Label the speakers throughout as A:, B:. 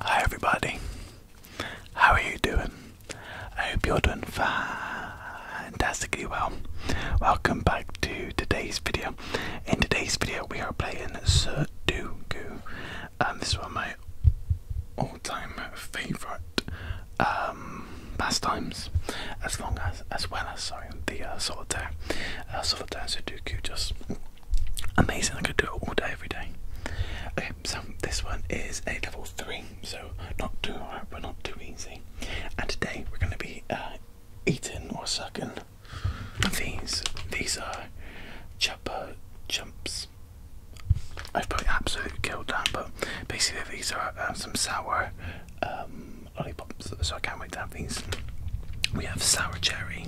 A: Hi everybody, how are you doing? I hope you're doing fantastically well. Welcome back to today's video. In today's video we are playing Sudoku. Um, this is one of my all-time favourite um, pastimes, as long as, as well as sorry, the uh, solitaire. Uh, solitaire Sudoku just amazing. I could do it all day, every day. Okay, so this one is a level three, so not too hard, but not too easy. And today we're going to be uh, eating or sucking these. These are chupa chups. I've probably absolutely killed that, but basically these are uh, some sour um, lollipops, so I can't wait to have these. We have sour cherry,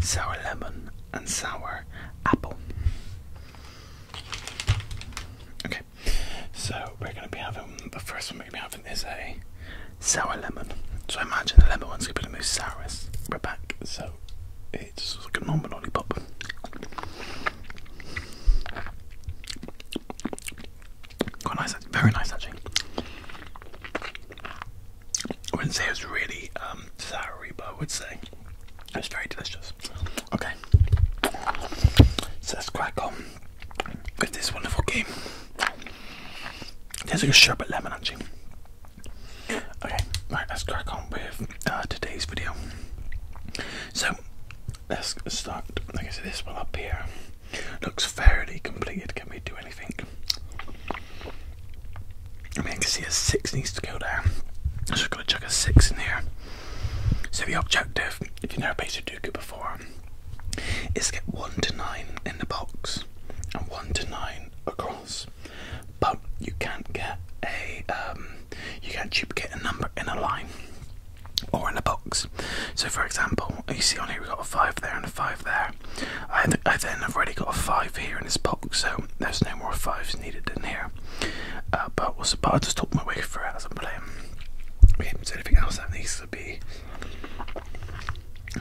A: sour lemon, and sour apple. Okay, so we're going to be having the first one we're going to be having is a sour lemon. So I imagine the lemon one's going to be the most sourest. We're back, so it's like a normal lollipop. Quite nice, very nice actually. I wouldn't say it was really um, soury, but I would say it was very delicious. Okay, so let's crack on with this wonderful game. There's like a sherbet lemon actually. Okay, right, let's crack on with uh, today's video. So let's start. Like I said, this one up here looks fairly completed. Can we do anything? I mean, I can see a 6 needs to go there. i have got going to chuck a 6 in here. So, the objective, if you've never played Sudoku before, is to get 1 to 9 in the box and 1 to 9 across. But you can't get a, um, you can't duplicate a number in a line or in a box. So, for example, you see on here we've got a 5 there and a 5 there. I, then have already got a 5 here in this box, so there's no more 5s needed in here. Uh, but, we'll, but I'll just talk my way for it as I'm playing. Okay, so anything else that needs to be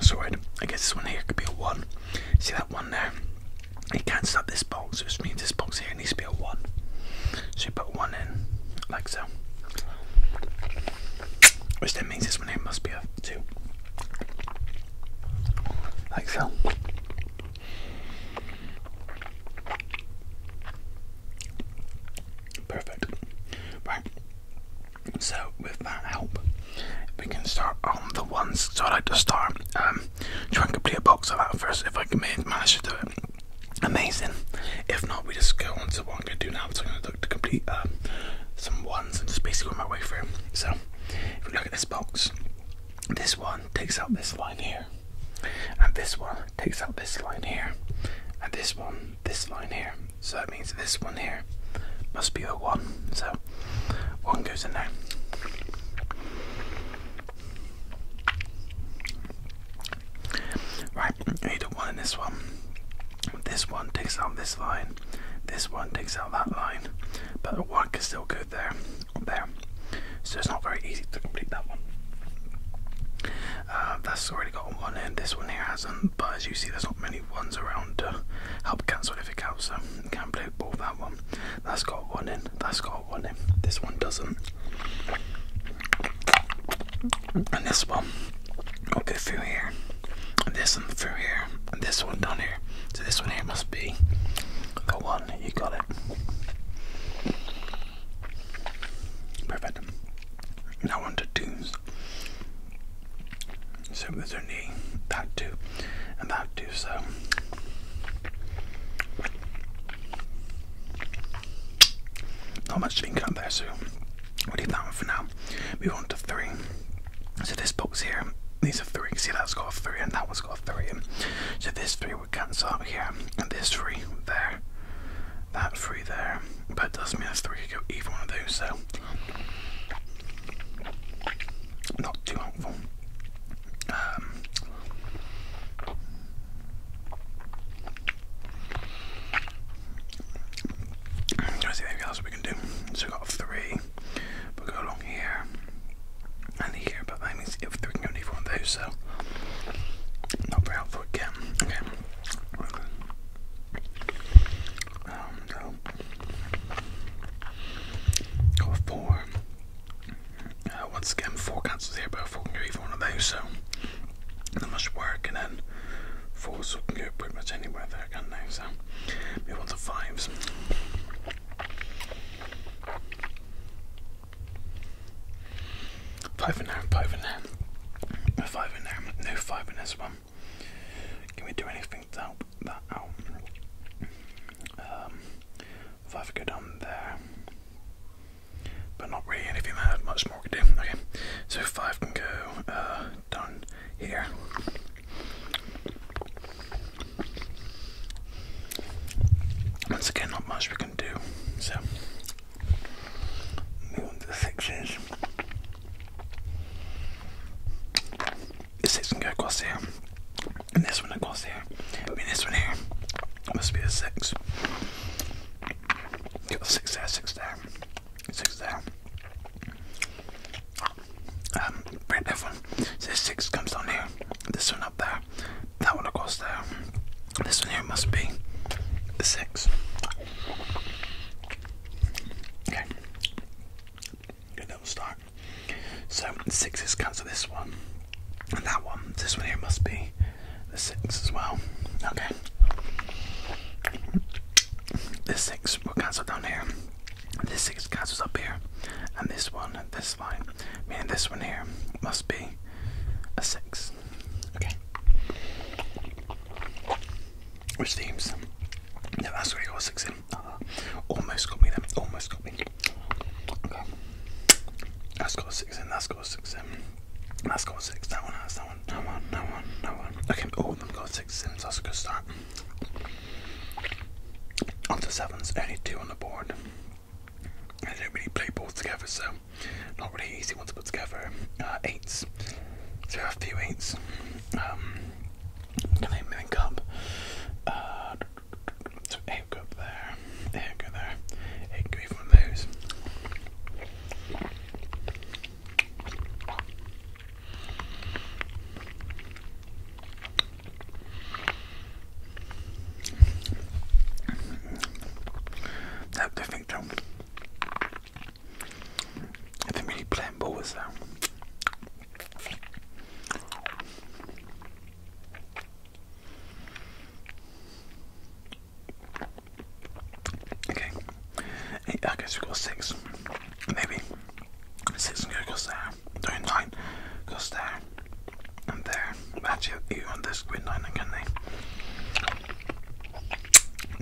A: sorted? I guess this one here could be a 1. See that one there? It cancels out this box, which means this box here needs to be a 1. So you put 1 in, like so. Which then means this one here must be a 2 like so. Perfect. Right. So with that help, we can start on the ones. So I like to start. Um, try complete a box of that first if I can manage to do it. Amazing. If not, we just go on to what I'm gonna do now. So I'm gonna look to complete uh, some ones and just basically work my way through. So if we look at this box. This one takes out this line here, and this one takes out this line here, and this one, this line here. So that means this one here must be a one. So one goes in there. Right, you don't in this one. This one takes out this line. This one takes out that line, but the work is still good there, there. So it's not very easy to complete that one. Uh, that's already got one in. This one here hasn't, but as you see, there's not many ones around to help cancel if it counts. So you can play both that one. That's got one in. That's got one in. This one doesn't. And this one, I'll go through here this one through here, and this one down here. So this one here must be the one. You got it. Perfect. Now on to twos. So there's only that two and that two. So. Not much to be cut there, so we'll leave that one for now. Move on to three. So this box here, these are three. You can See that's got a three and that one's got a three. So this three would cancel out here, and this three there, that three there. But it does mean a three could go either one of those. So not too helpful. Um, i see anything else we can do. So we've got a three see. But go along here and here, but that means if we can only for one of those, so not very helpful again. Okay. Um, no. Go with four. Uh, once again, four cancels here, but four can go either one of those, so that must work, and then fours so can go pretty much anywhere there there, can't So move on to fives. Five in there, five in there. Five in there, no five in this one. Can we do anything to help that out? Um, five go down there. But not really anything have much more to do. Okay, so five can go uh, done here. Once again, not much we can do. So, move on to the sixes. The six can go across here, and this one across here. I mean, this one here must be a six. Got six there, six there, six there. Um, right, everyone. So six comes down here. This one up there. That one across there. This one here must be the six. Okay. Good little start. So six is cancel this one. And that one. This one here must be the six as well. Okay. This six will down here. This six castles up here, and this one, this line, and this one here must be a six. Okay. Which teams? no, that's you got six in. Uh-huh. almost got me then. Almost got me. Okay. That's got a six in. That's got six in. That's got six. That one has. That one. That one. That one. That one. Okay. All of them got six in. that's a good start. On the sevens, only two on the board. I don't really play both together, so not really easy one to put together. Uh, eights, so I have a few eights. can I link up? Uh, so eight up there, eight go there, eight go even those. No, don't think I think we need playing ball with that. Okay eight, I guess we got six, maybe. Six and goes there, no, nine goes there, and there. Actually, you on this with nine, can they?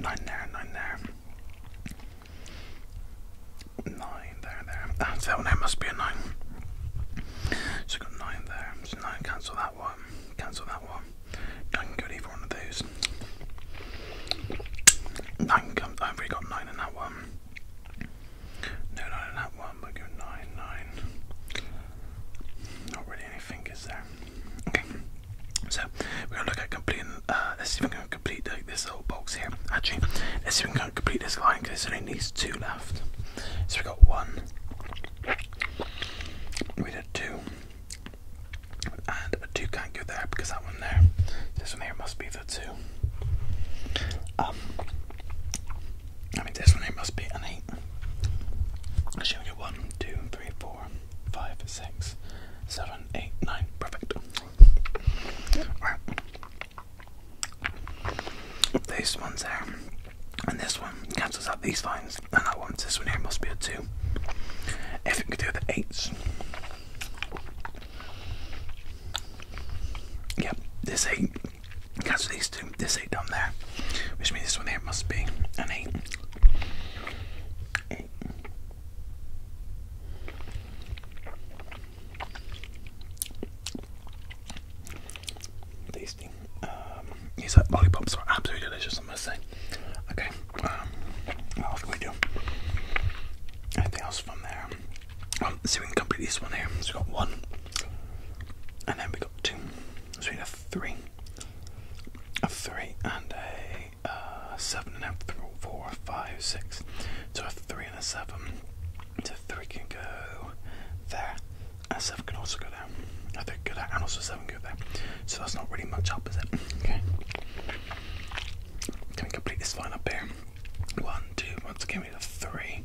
A: Nine there, nine there. Nine there, there. Ah, that one there must be a nine. So I got nine there. So nine cancel that one. Cancel that one. I can go either one of those. Nine I've already got nine in that one. No nine in that one. We'll nine, nine. Not really any fingers there. Okay. So we're gonna look at completing. Uh, let's see if we can complete like, this little box here. Actually, let's see if we can complete this line because there's only needs two left. So we got one. We did two. And a 2 can't go there because that one there, this one here must be the 2. Um, I mean, this one here must be an 8. I'm show you 1, 2, Perfect. Alright. These ones there, and this one cancels out these lines, and that one, this one here must be a 2. If we could do the 8s, Yep, this eight. Because these two, this eight down there, which means this one here must be an eight. Tasty. Um, these lollipops are absolutely delicious, I must say. Okay, um, we do? Anything else from there? Um, let's see, if we can complete this one here. We've got one, and then we got two. So we have three, a three, and a uh, seven, and then four, five, six. So a three and a seven. So three can go there, and seven can also go there. I think go there, and also seven go there. So that's not really much up, is it? Okay. Can we complete this line up here? One, two, once again we have a three,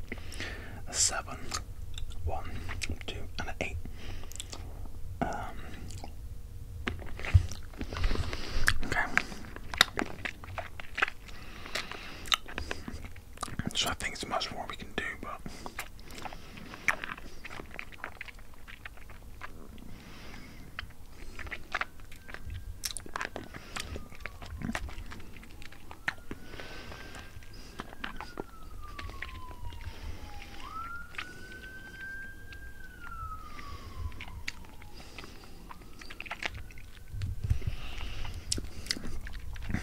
A: and an eight. Um, okay. So I think there's much more we can do, but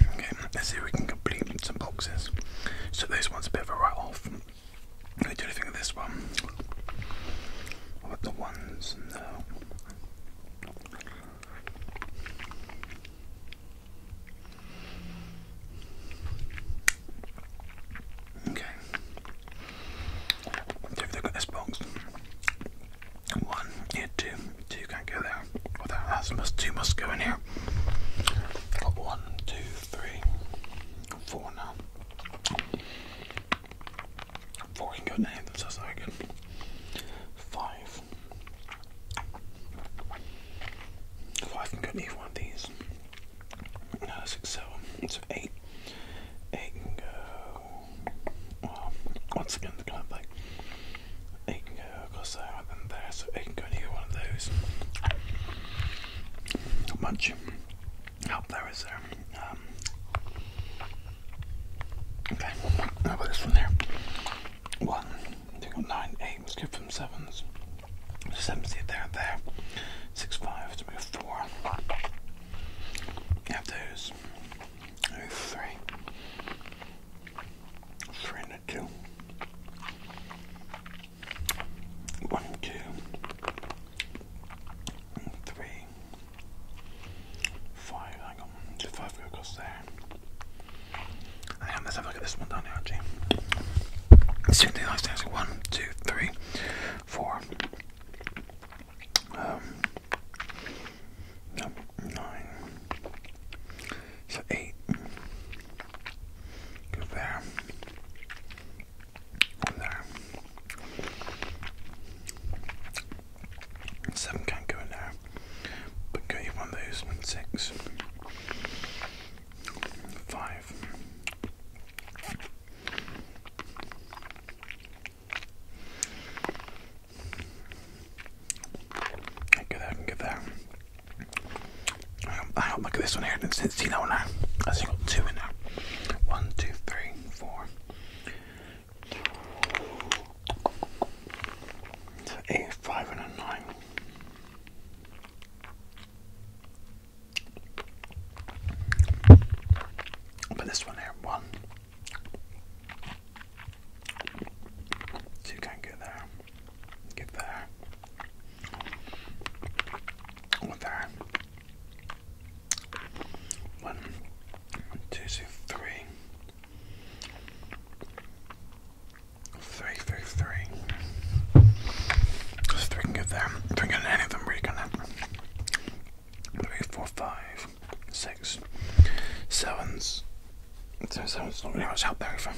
A: Okay, let's see if we can complete some boxes. So this one's a bit of a right off what do you think of this one? What the ones? No. Okay. So if they got this box, one, two, two can't go there. that, that's must, two must go in here. got one, two, three, four now. Fucking good name, that's so good. Five. Five can go in either one of these. six, seven. So eight. Eight can go. Well, once again, the kind of like. Eight can go across there and there, so eight can go in one of those. Munch hope that was there. Um, okay, how about this one there? One, two, nine, eight. Let's give them sevens. Sevens there, there. Six, five. So we four. We have those. There's three. and two. One, two, three, five. Hang on, five go there. let's have a look at this one down here, actually. It's really nice things. One, two, three, four. Um, so eight. Go there there. Seven can't go in there, but go you one of those. Six, five. I go there, um, I don't look at this one here. It's, you know, now I think I've got two in there. One, two, three, four. So eight, five, and a nine. But this one here, one. So you can't get there. Get there. What there? One, two, two, three. Three, three, three. Let's three can get there. Three can any of them really can happen. Three, four, five, six, sevens. So seven's not really much help there either.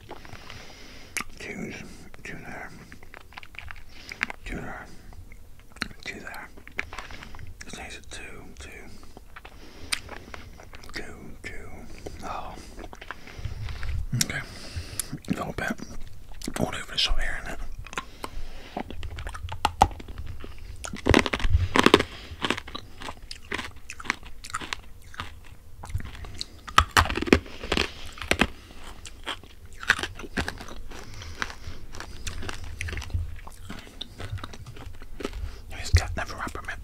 A: Choose to there, to there, to there. Just needs a two, two, two, two. Oh, okay. A little bit all over the shop here, isn't it? It's got never wrapper mint.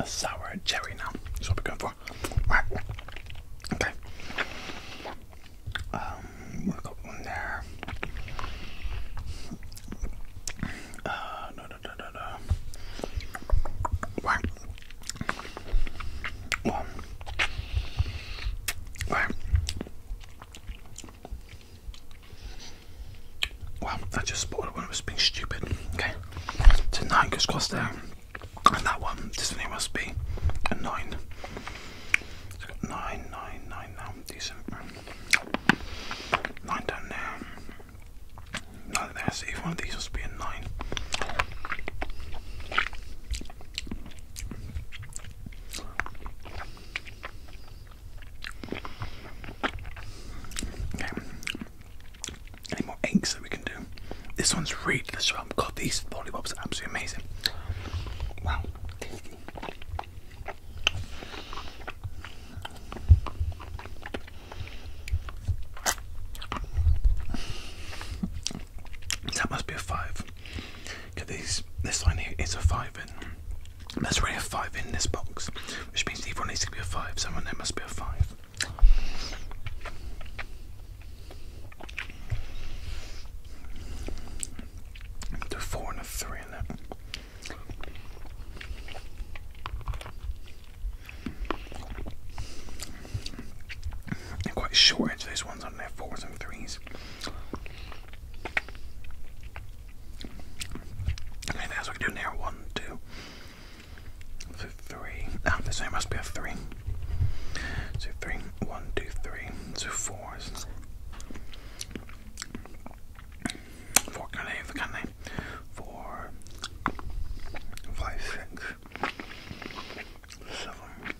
A: A sour cherry now. That's what we're going for. Right. Okay. Um one there. Uh no no no da, da. Right. I just spotted one that was being stupid. Okay. So nine goes cross there. And that one, this thing must be a nine. nine, nine, nine now. Decent. Nine down there. None there, so if one of these was to be a 9. Okay. Any more eggs that we can do? This one's really delicious. God, these lollipops are absolutely amazing. Wow. That must be a five. Cause these this line here is a five in. There's already a five in this box, which means the other needs to be a five. Someone there must be a five. Do four and a three in it. They're quite short edge, those ones on their fours and threes. Okay, that's what we do now. One, two, three. Ah, so there must be a three. So Four can they over, can they? four, five, six, seven,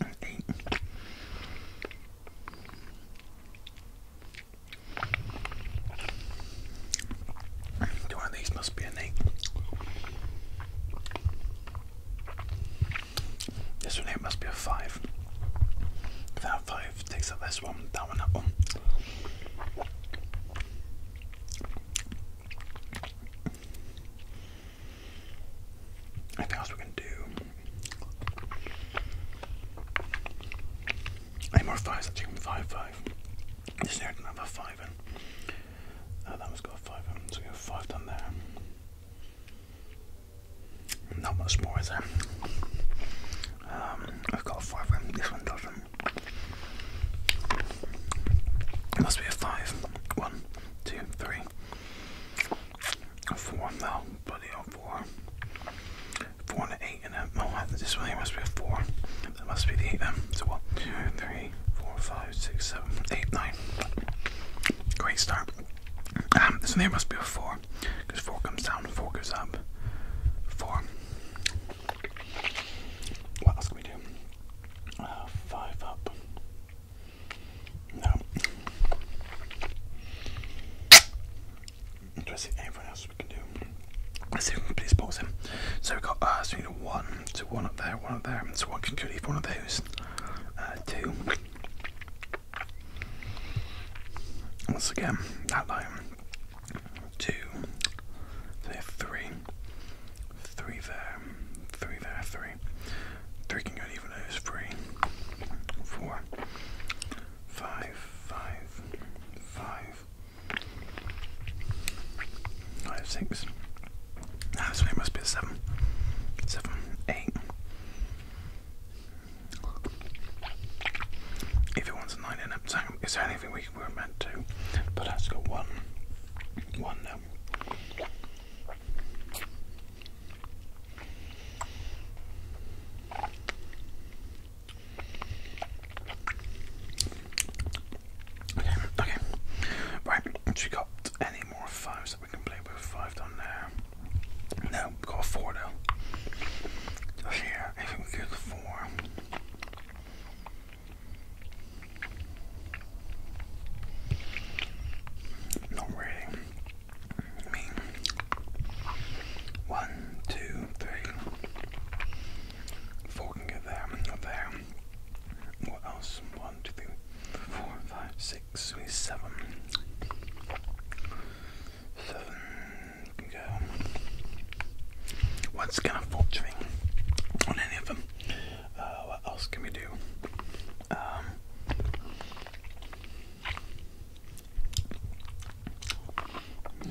A: and eight. One of these must be an eight. This one here must be a five. that five takes up this one, that one, that one. Anything else we can do? Any more fives? Let's five, five. This there didn't five in. Eh? Uh, that one's got a five in, eh? so we have five down there. Not much more is there. Um, I've got a five in, eh? this one doesn't. It must be a five. One, two, three. No, buddy, four. Four and eight and a no this one here must be a four. That must be the eight um, then. So one, two, three, four, five, six, seven, eight, nine. Great start. Um, this one here must be a four. Because four comes down, four goes up. Four. What else can we do? Uh, five up. No. Do I see anything else we can do? Let's see if we can please pause him. So we've got uh, so we need one, so one up there, one up there, so one can leave one of those. Uh, two. Once again, that line two, so three, three there, three there, three, three can go even those, three, four, five, five, five, five, six, no, ah, so it must be seven, seven, eight, if it wants a nine in it, so it's only every week we are meant to, but that's got one, one now. Okay, okay. Right, she got any more fives that we can play with? Five down there. No, got four though. Here, if we get the four. Don't worry. I mean, one, two, three, four can get there, up there. What else? One, two, three, four, you can go. What's kind of faltering on any of them? Uh, what else can we do? Um,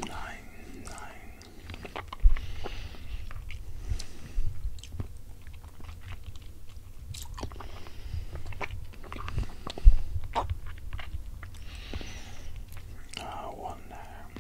A: nine, nine. Uh, one there.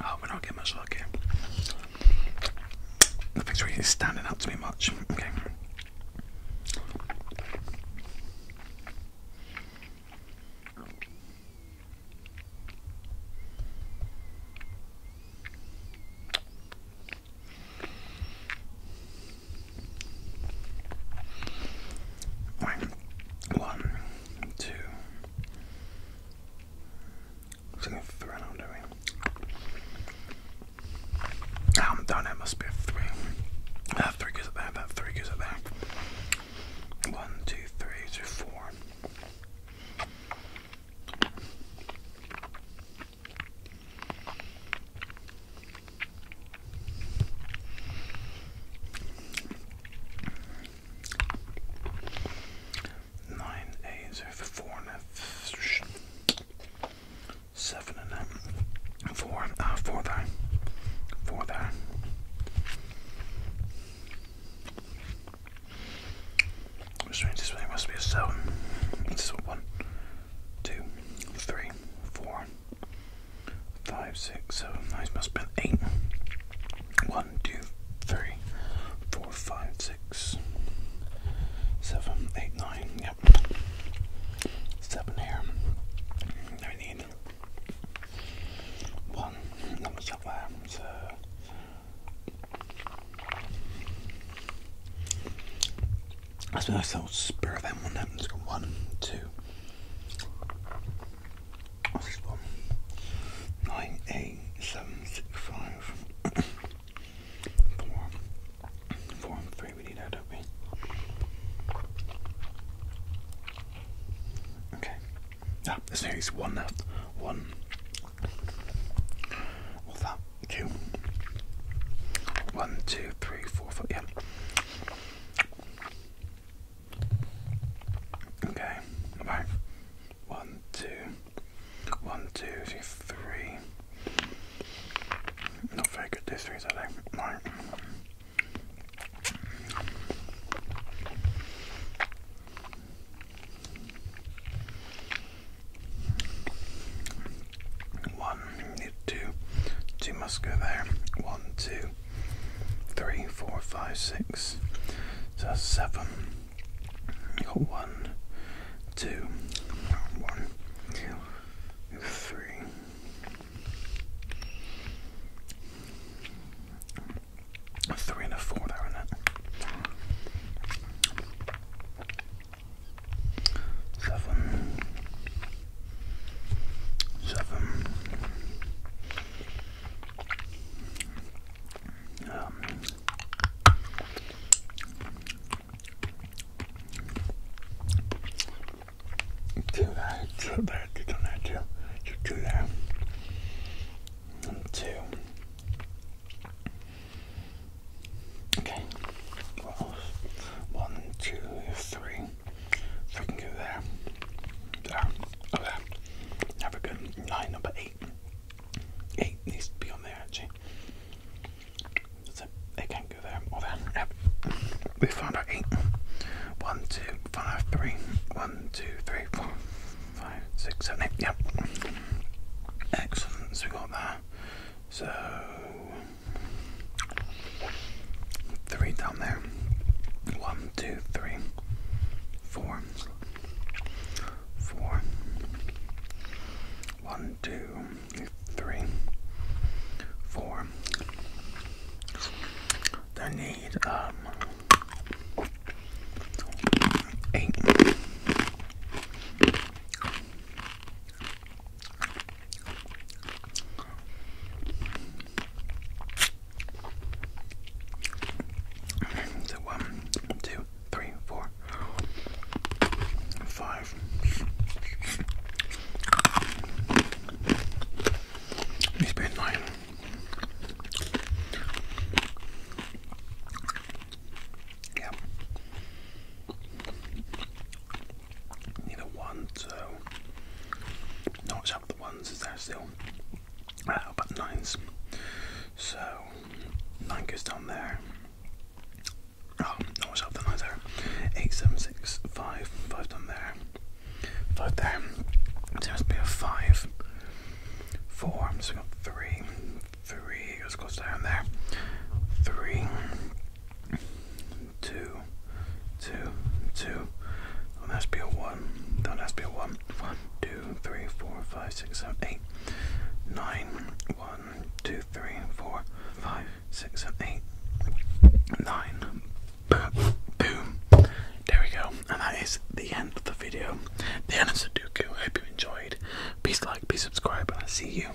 A: I hope I not get much luck here. Nothing's really standing out to me much. Okay. One, two. I'm three I'm I'm done, it must be three. That three goes up there, that three goes up there. One, two, three, two, four. Nine A's over four and seven and a four. Ah, four there. Four there. Which this way must be a seven. This one five, six, seven, nine, must have eight. One, two, three, four, five, six, seven, eight, nine, yep. Seven here. I need one. Number seven. So I suppose I'll spur them on One, two, What's this one? 98765. 4. 4 and 3, we need that, don't we? Okay. Ah, there's only one left. One. What's that? Two. One, two, three, four, five. Yeah. Okay, right. One, two, one, two, three, three. Not very good these threes, are Right. One, two, two must go there. One, two, three, four, five, six. So seven. You got one, two, one, two, three. A three and a four there in it? Seven, seven. Um, do that, do that, do that, do, two. Okay. What else? One, two, three. Freaking get there. There. Over there. Have a good nine, number eight. Eight needs to be on there actually. So they can't go there or there. Yep. We found our eight. One, two, five, three. One, two, three, four, five, six, seven, eight. Yep. Excellent. So we got that. So Three down there. One, two, three, four, four. One, two, three, four. They need um eight. So one, two, three, four, five. He's been nine. Yep neither one, so notch up the ones is there still. Uh, nines. So nine goes down there. Oh, notch up the nine there. Eight, seven, six, five, five down there. Five there. There has to be a five. Four, so we got three. Three goes across down there. Three two, two, two. That has to be a one. That has to be a one. One, two, three, four, five, six, seven, eight, nine. One, two, three, four, five, six, seven, eight, nine. Boom. There we go. And that is the end of the video. The end of Sudoku. I hope you enjoyed. Please like, please subscribe, and I'll see you